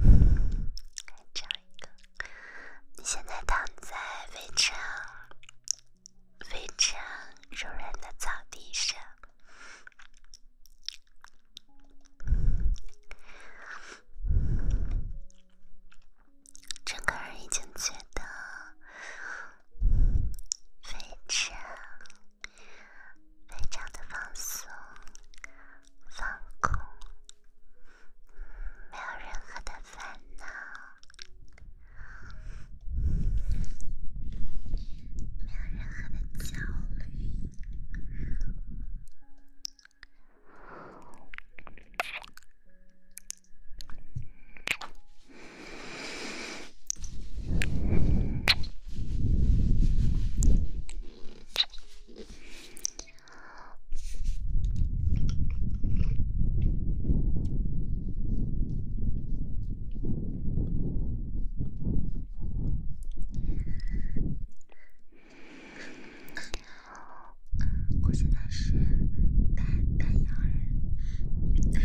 再唱一个。你现在躺在非常、非常柔软的草地上，整个人已经觉得非常、非常的放松。放空，没有任何的烦恼，没有任何的焦虑。我现在是丹丹阳人。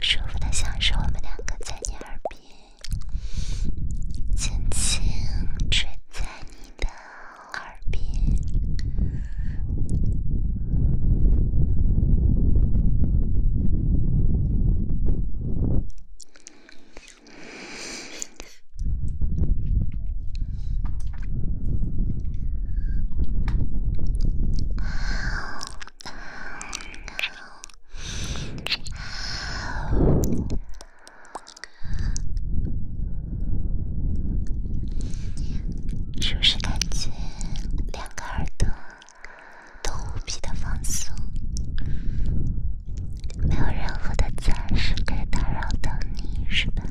舒服的像是我们两个在你耳边，轻轻吹在你的耳边。是不是感觉两个耳朵都无比的放松？没有任何的暂时可以打扰到你，是吧？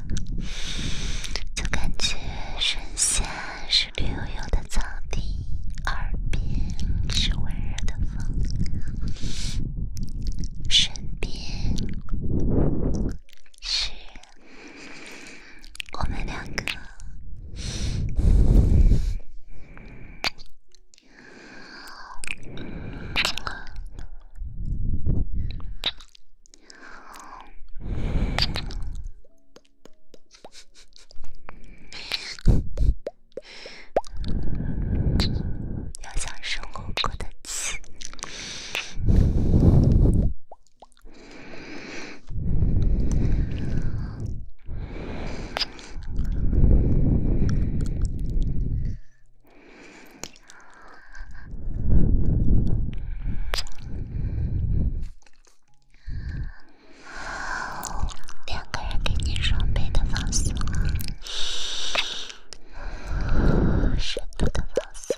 就感觉身下是绿油油的草地，耳边是温热的风，身边是我们两个。要像孙悟空的气。两个人给你双倍的放松，深度的放松。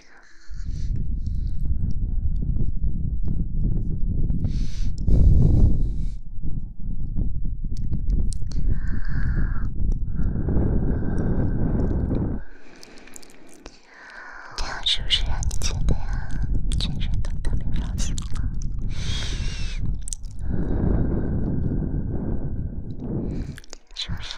这是不是让你觉得全身都特别放松是不是？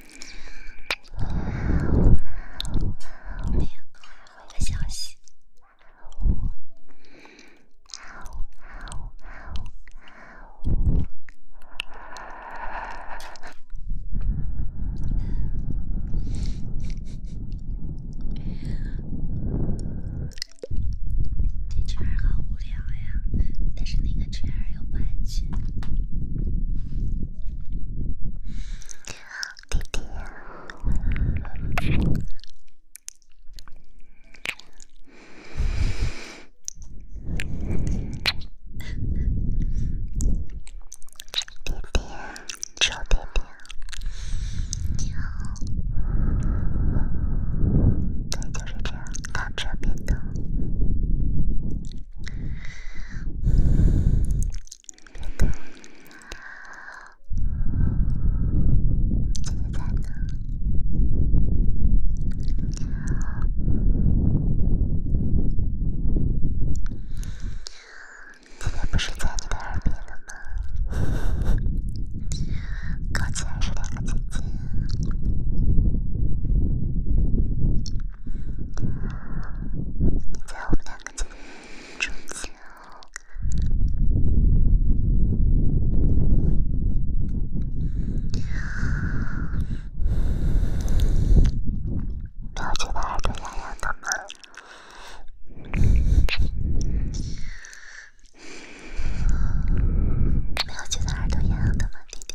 没有，我回个消息。是那个圈儿又不爱去。弟弟，弟弟，臭弟弟，你好，对，就是这样，靠这边的。别动，姐姐在呢。今天不是在你的耳边了吗？靠近点，姐姐。你在我们两个之间没有觉得耳朵痒痒的吗？没有觉得耳朵痒痒的吗，弟弟？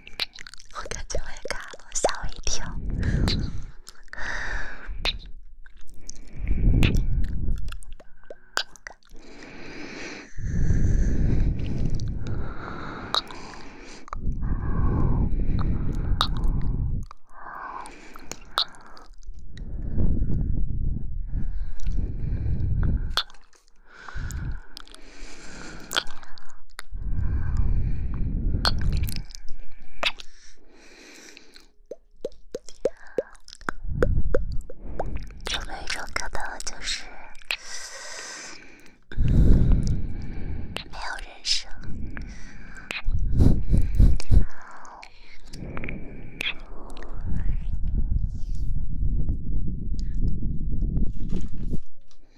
我感觉我也卡了，吓我一跳。有没有一种可能，就是没有人生？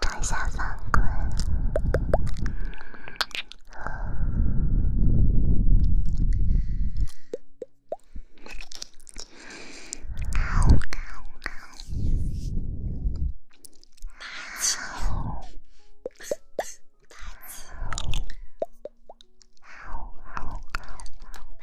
摘下三棍。好，好，好，霸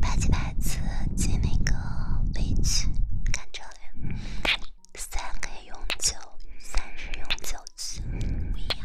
八几百次进那个微区，看照片，三可以永久，三是永久区，不一样。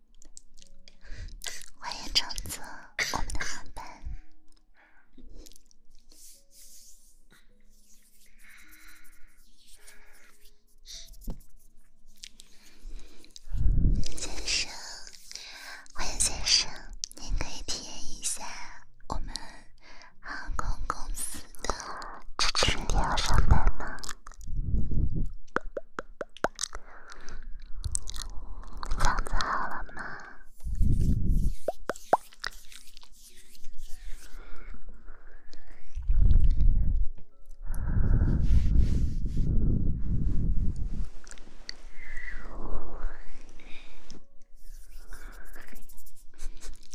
欢迎乘坐我们的航班，先生。欢迎先生，您可以体验一下我们航空公司的。出去你要上班吗？嗓子好了吗？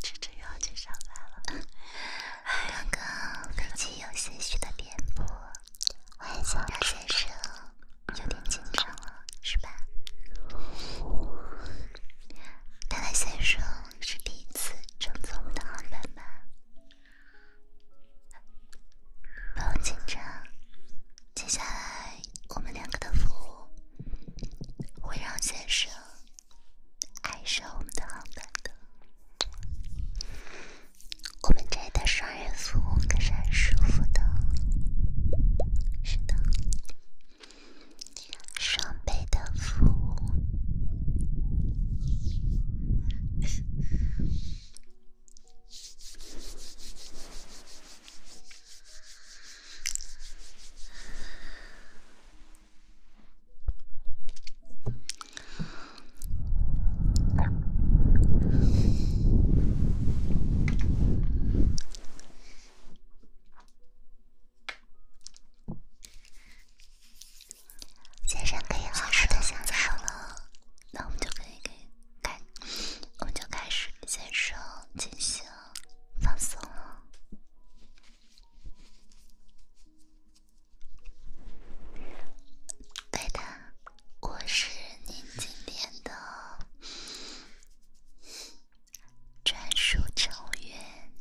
志志又要去上班了，还有个飞机有些许的颠簸。我也想迎，先生，有点紧张了，是吧？看来先生是第一次乘坐我们的航班吧？不用紧张，接下来我们两个的服务会让先生爱上我们的航班的。我们这的双人服务可是很舒服的，是的，双倍的服务。先生可以好好的享受了，那我们就可以给开，我们就开始先生进行放松了。对的，我是你今天的专属成员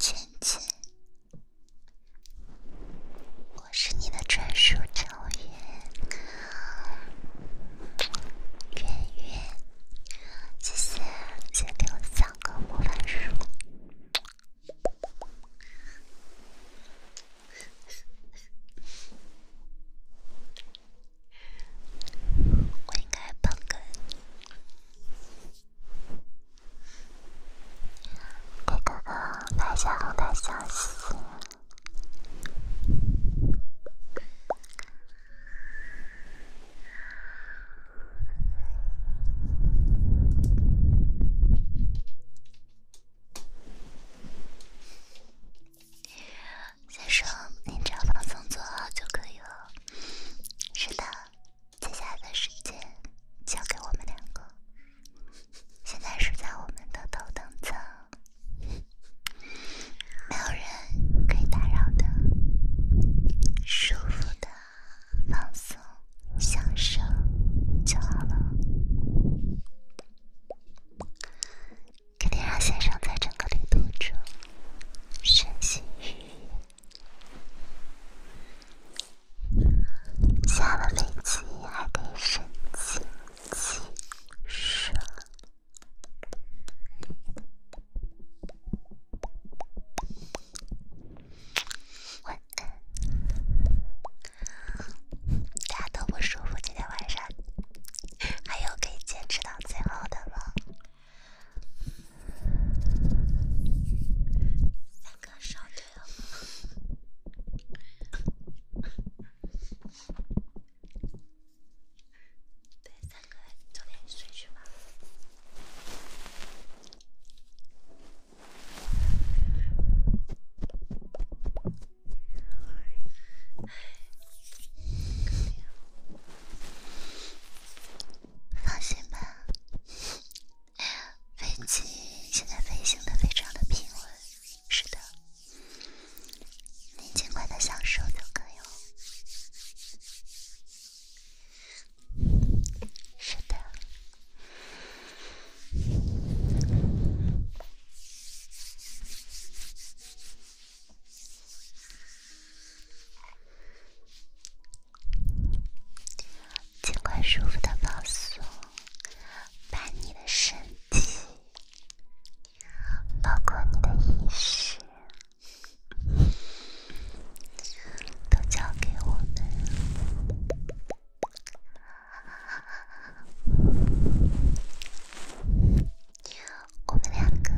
芊芊，我是你的专属成员圆圆，谢谢，谢谢，给我三个魔法书。我应该帮哥给哥哥来一下，来一下。先生，您只要放松做好就可以了。是的，接下来的时间交给我们两个。现在是在我们的头等舱，没有人可以打扰的，舒服的放松享受就好了。肯定让先生在整个旅途中身心愉悦，下了飞机还可以身心俱 大家都不舒服，今天晚上 还有可以坚持到最后的吗？三个少退了，对，三个早点睡去吧。放心吧，飞机现在飞行的非常的平稳。是的，您尽快的享受就可以了。是的。尽快舒服的放松，把你的身体，包括你的意识，都交给我们。我们两个，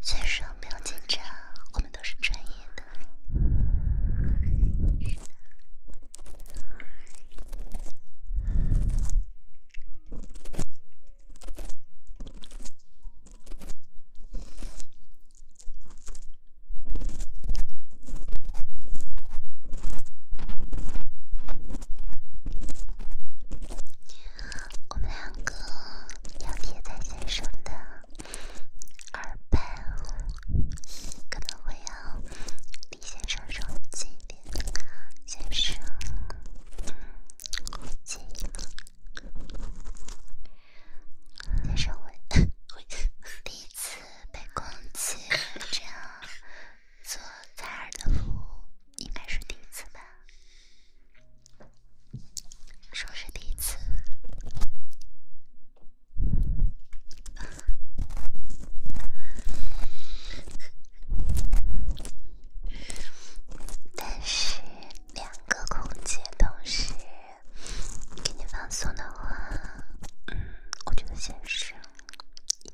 先生不用紧张，我们都是专业。我们两个要贴在身上的。耳畔可能会要李先生说近一点，先生近一点。先生，我第一次被攻击这样做耳的服务，应该是第一次吧？说是第一次。但是两个空间同时给你放松的话，嗯，我就先生，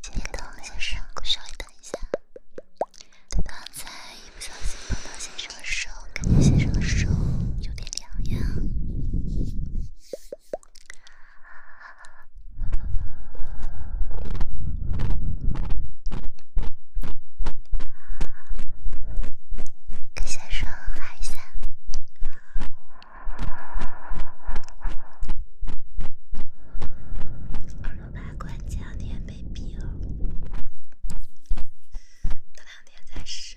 先生，先生，稍微等一下。等刚才一不小心碰到先生说。我感觉先生的手有点凉呀，给先生喊一下。耳朵拔罐这两天被逼了。两天再试。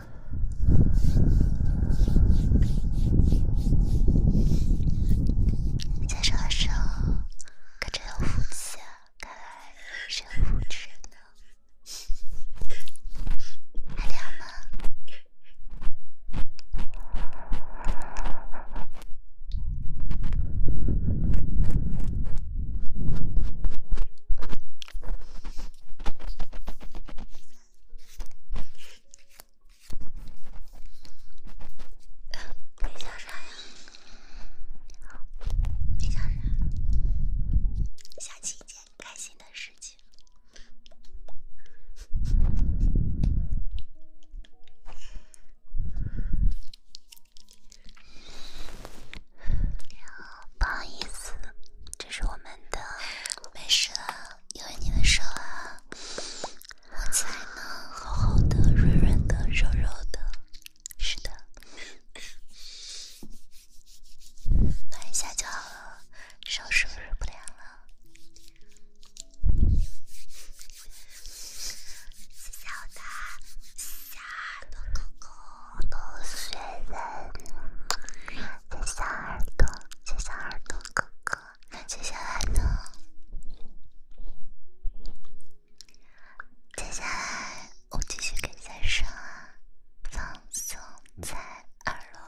在说的时候可真有福气啊，看来真有福气呢。还凉吗？没讲啥呀？没讲啥，想起一件开心的事情。不好意思。这是我们的，没事了，因为你的手啊，摸起来呢，厚厚的，润润的，柔柔的，是的，暖一下就好了，手是不是不凉了？谢谢我的，小的狗狗。都是雪人的小耳朵，小耳朵哥哥，接下来呢？接下来我继续给大家说，放松在耳朵。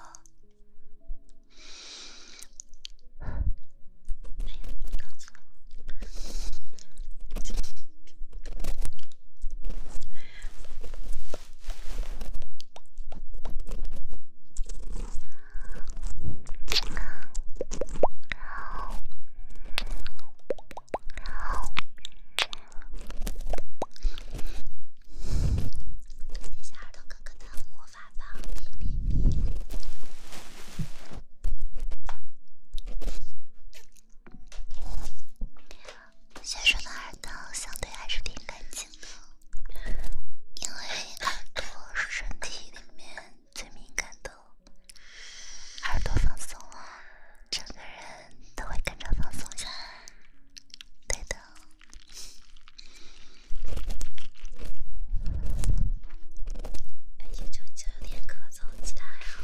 谢谢耳朵哥哥的魔法棒！学生的耳朵相对还是挺干净的，因为耳朵是身体里面最敏感的。耳朵放松了，整个人都会跟着放松下来。对的，而且就就有点咳嗽，其他还好。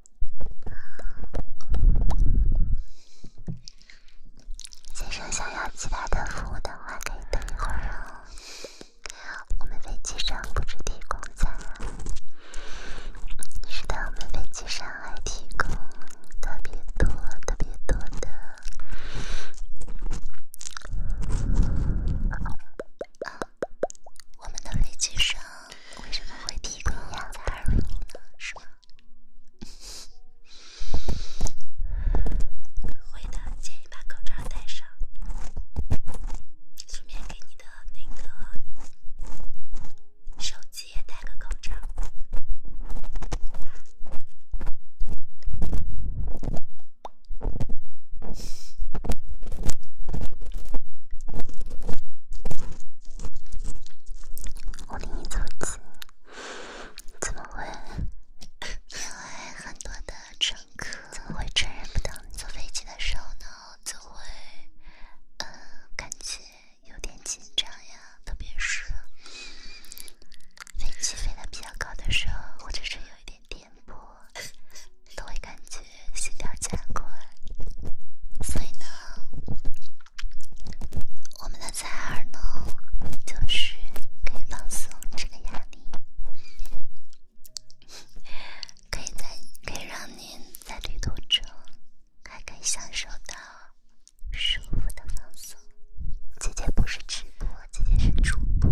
机长想要其他的服务的话，可以等一会儿哦。我们飞机上不止提供餐，是的，我们飞机上还提供特别多、特别多的。我们的飞机上为什么会提供羊呢？是吗？会的，建议把口罩戴上。顺便给你的那个手机也戴个口罩。我离你怎么怎么会？因为很多的乘客怎么会承认不到你坐飞机的时候呢？就会，嗯，感觉有点紧张呀，特别是飞机飞得比较高的时候，或者是有一点颠簸，都会感觉心跳加快，所以呢。我们的耳塞呢，就是可以放松这个压力，可以在可以让您在旅途中还可以享受到舒服的放松。姐姐不是直播，姐姐是主播。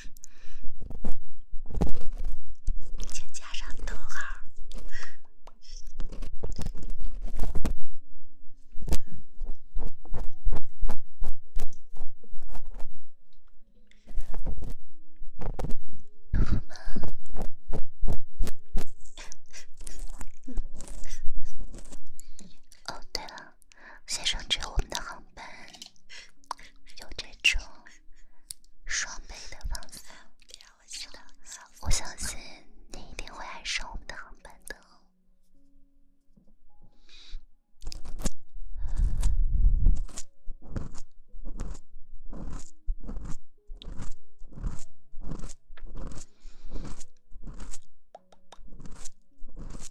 请 加上逗号。哦，对了。先生，只有我们的航班有这种双倍的房舱，我相信你一定会爱上我们的航班的。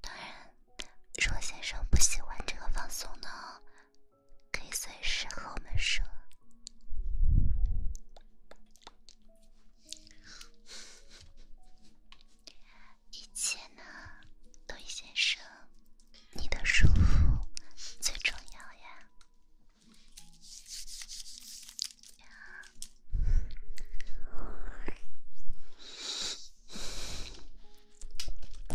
当然，如果先生不喜欢这个放松呢，可以随时和我们说。一切呢，都一先生，你的舒服最重要呀。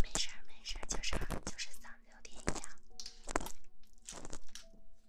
没事儿，没事儿，就是就是嗓子有点痒。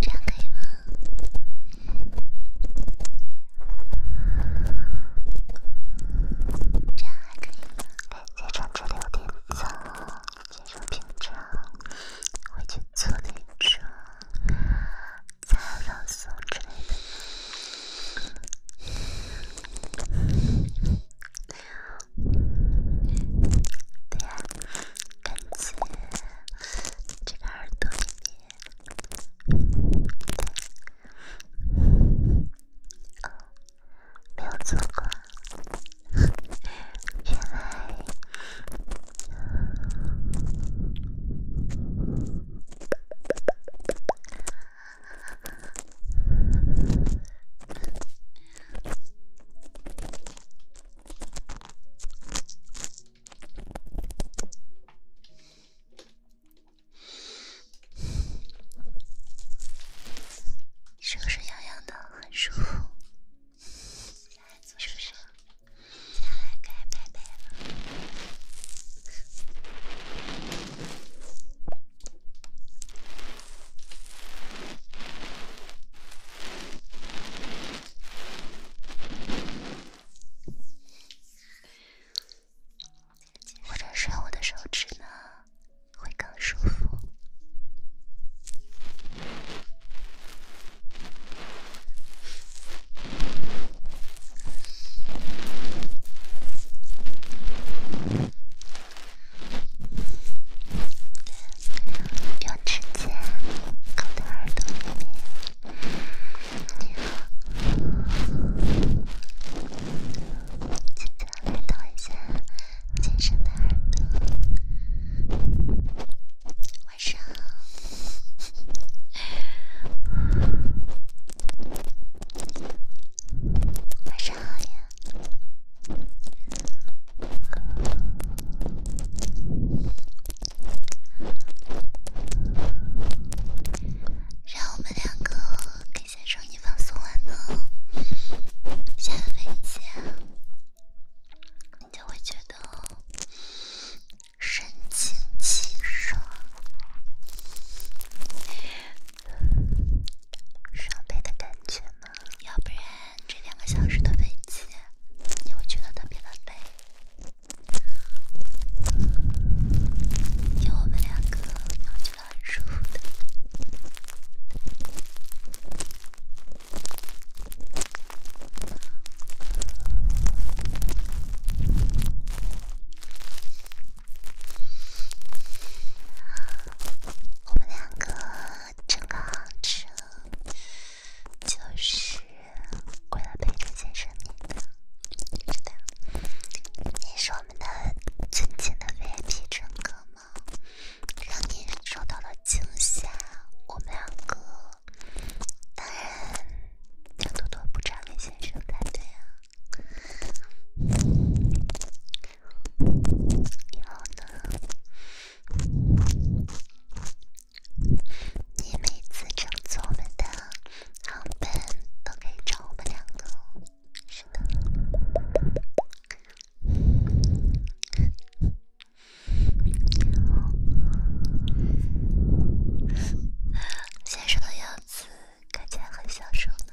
这样可以吗？这样还可以吗？哎，再唱这有点早，进入平常，回去做点什么，再放松之类的。对呀。感觉这个耳朵里面，对，哦，没有做过，原来。是不是痒痒的，很舒服？是不是？接下来该拜拜了。或者是我的手指呢，会更舒服。用指尖靠在耳朵里面，轻轻的来抖一下亲生的耳朵。晚上好，晚上好呀。只要我们两个给先生一番送吻的，献吻礼节，你就会觉得神清气爽、感觉。要不然，这两个小时的飞机，你会觉得特别的累。有我们两个，你会觉得很舒服的。我们两个真个好吃。就是为了陪着先生您的，知道是我们的尊敬的 VIP 乘客吗？让你受到了惊吓，我们两个当然要多多补偿给先生才对啊。以后呢？你每次乘坐我们的航班，都可以找我们两个。是的，先生的样子看起来很享受呢。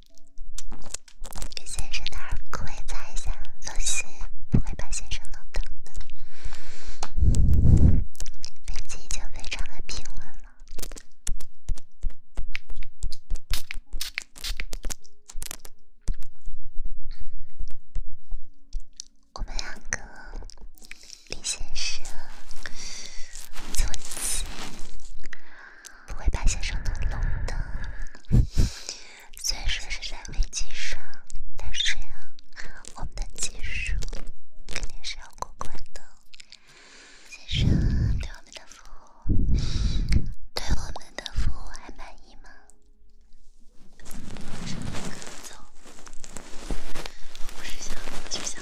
给先生的耳廓也擦一下，小不会把先生弄疼的。飞机已经非常的平稳了，我们两个，李先生，坐起。不会把先生弄聋的。虽然说是在危机上，但是呀，我们的技术肯定是要过关的。先生，对我们的服务，对我们的服务还满意吗？走，不是想，是想。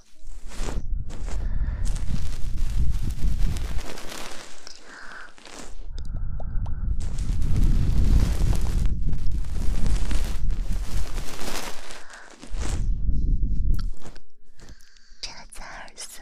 这咋扫？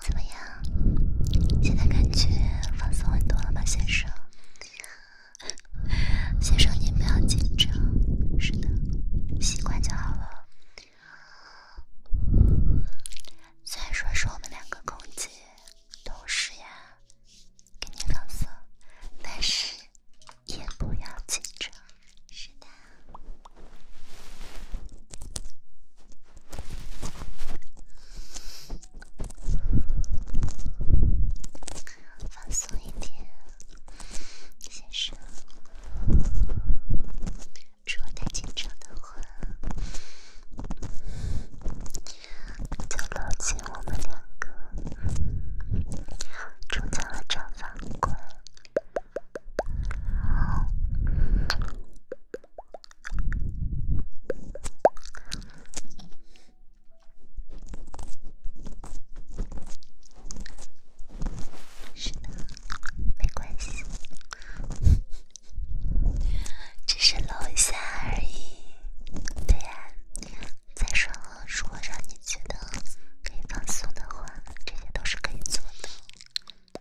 怎么样？现在感觉放松很多了吧，先生？先生，您不要紧张。是的，习惯就好了。虽然说是我们两个共结，同时呀，给您放松，但是也不要紧张。是的。放松一点，先生。如果太紧张的话，就牢记我们两个住在了这房管。是的，没关系，只是露一下而已。对呀，再说了，如果让你觉得可以放松的话，这些都是可以做的。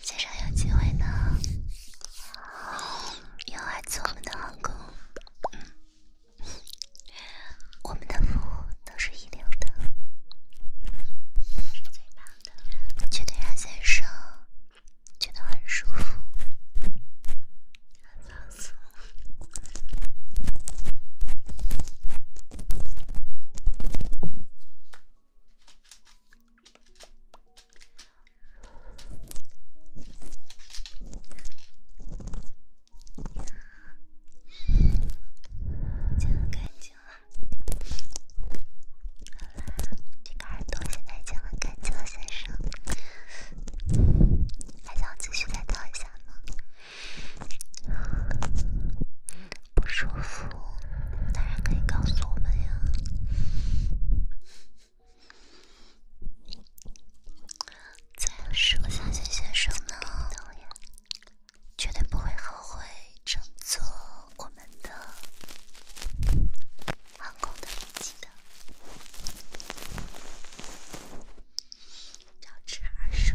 先生有机会呢，要来做我们的航空，我们的服务都是一流的，是最棒的，绝对让先生。觉得很舒服，很放松，就很干净了。好啦，这个耳朵现在已经很干净了，先生。还想继续再跳一下吗？不舒服，当然可以告诉我们呀。再说下去先生呢，绝对不会后悔，正做我们的。航空的，记得。赵志儿说。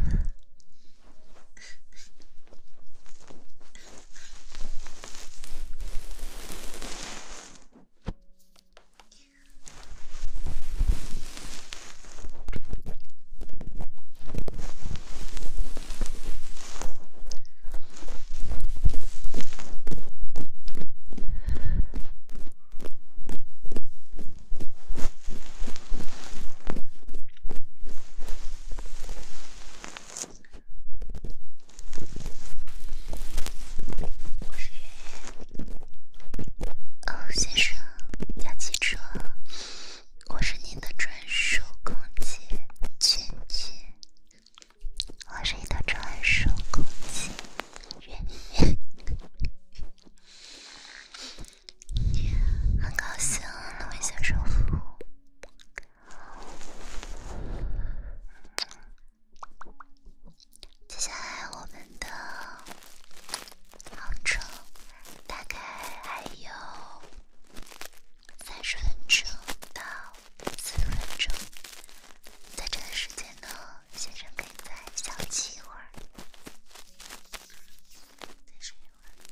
哦，先生，要起床？我是您的专属空姐，娟娟。我是一段专属空气，很高兴能为先生服务。接下来我们的航程大概还有三十分钟到四十分钟。在这段时间呢，先生可以再小憩一会儿，再睡一会儿。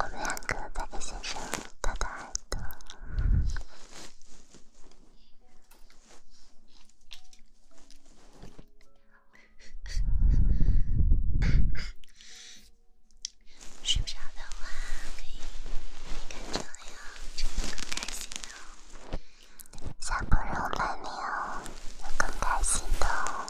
我们两个在给先生打打耳朵。受 伤的话可以，看这里哦，这里更开心哦，三不惹你哦，更开心的哦。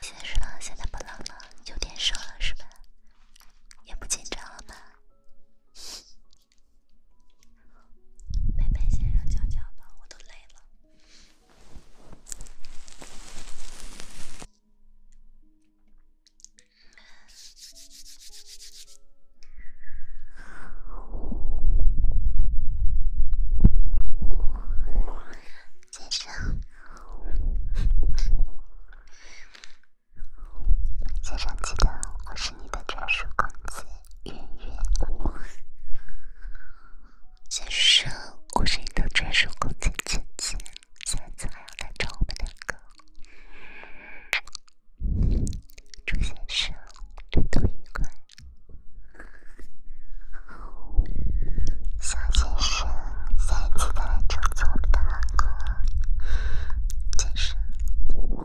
现在冷，现在不冷了，有点热了，是吧？也不紧张了吧？妹 妹先上讲讲吧，我都累了。先生。先生，记得我是你的专属公子云云。先生，我是你的专属公子姐姐，下次还要来找我们两个。祝先生，旅途愉快。小先生。下一期再来拯救我们的狼哥，僵尸。我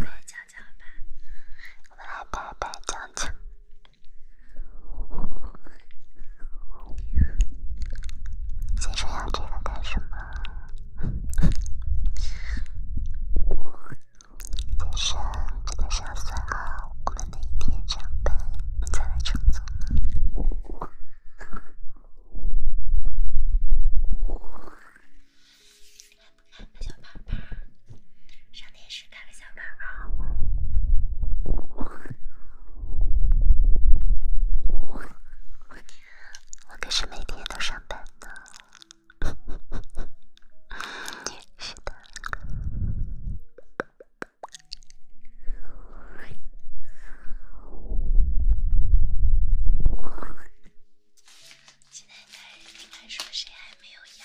们来讲讲吧，我们来拜拜讲讲。在说养这个干什么？再 上，记得上三号。我们那一天上班，再来创作。来，小胖胖，上电视。我都是每天都上班呢。是的。现在开始，开始说谁还没有牙？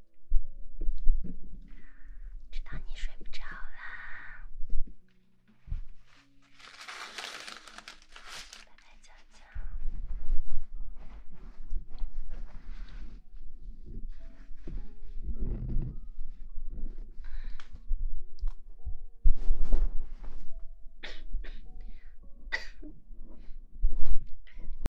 知道你睡不着啦，拜拜，早早。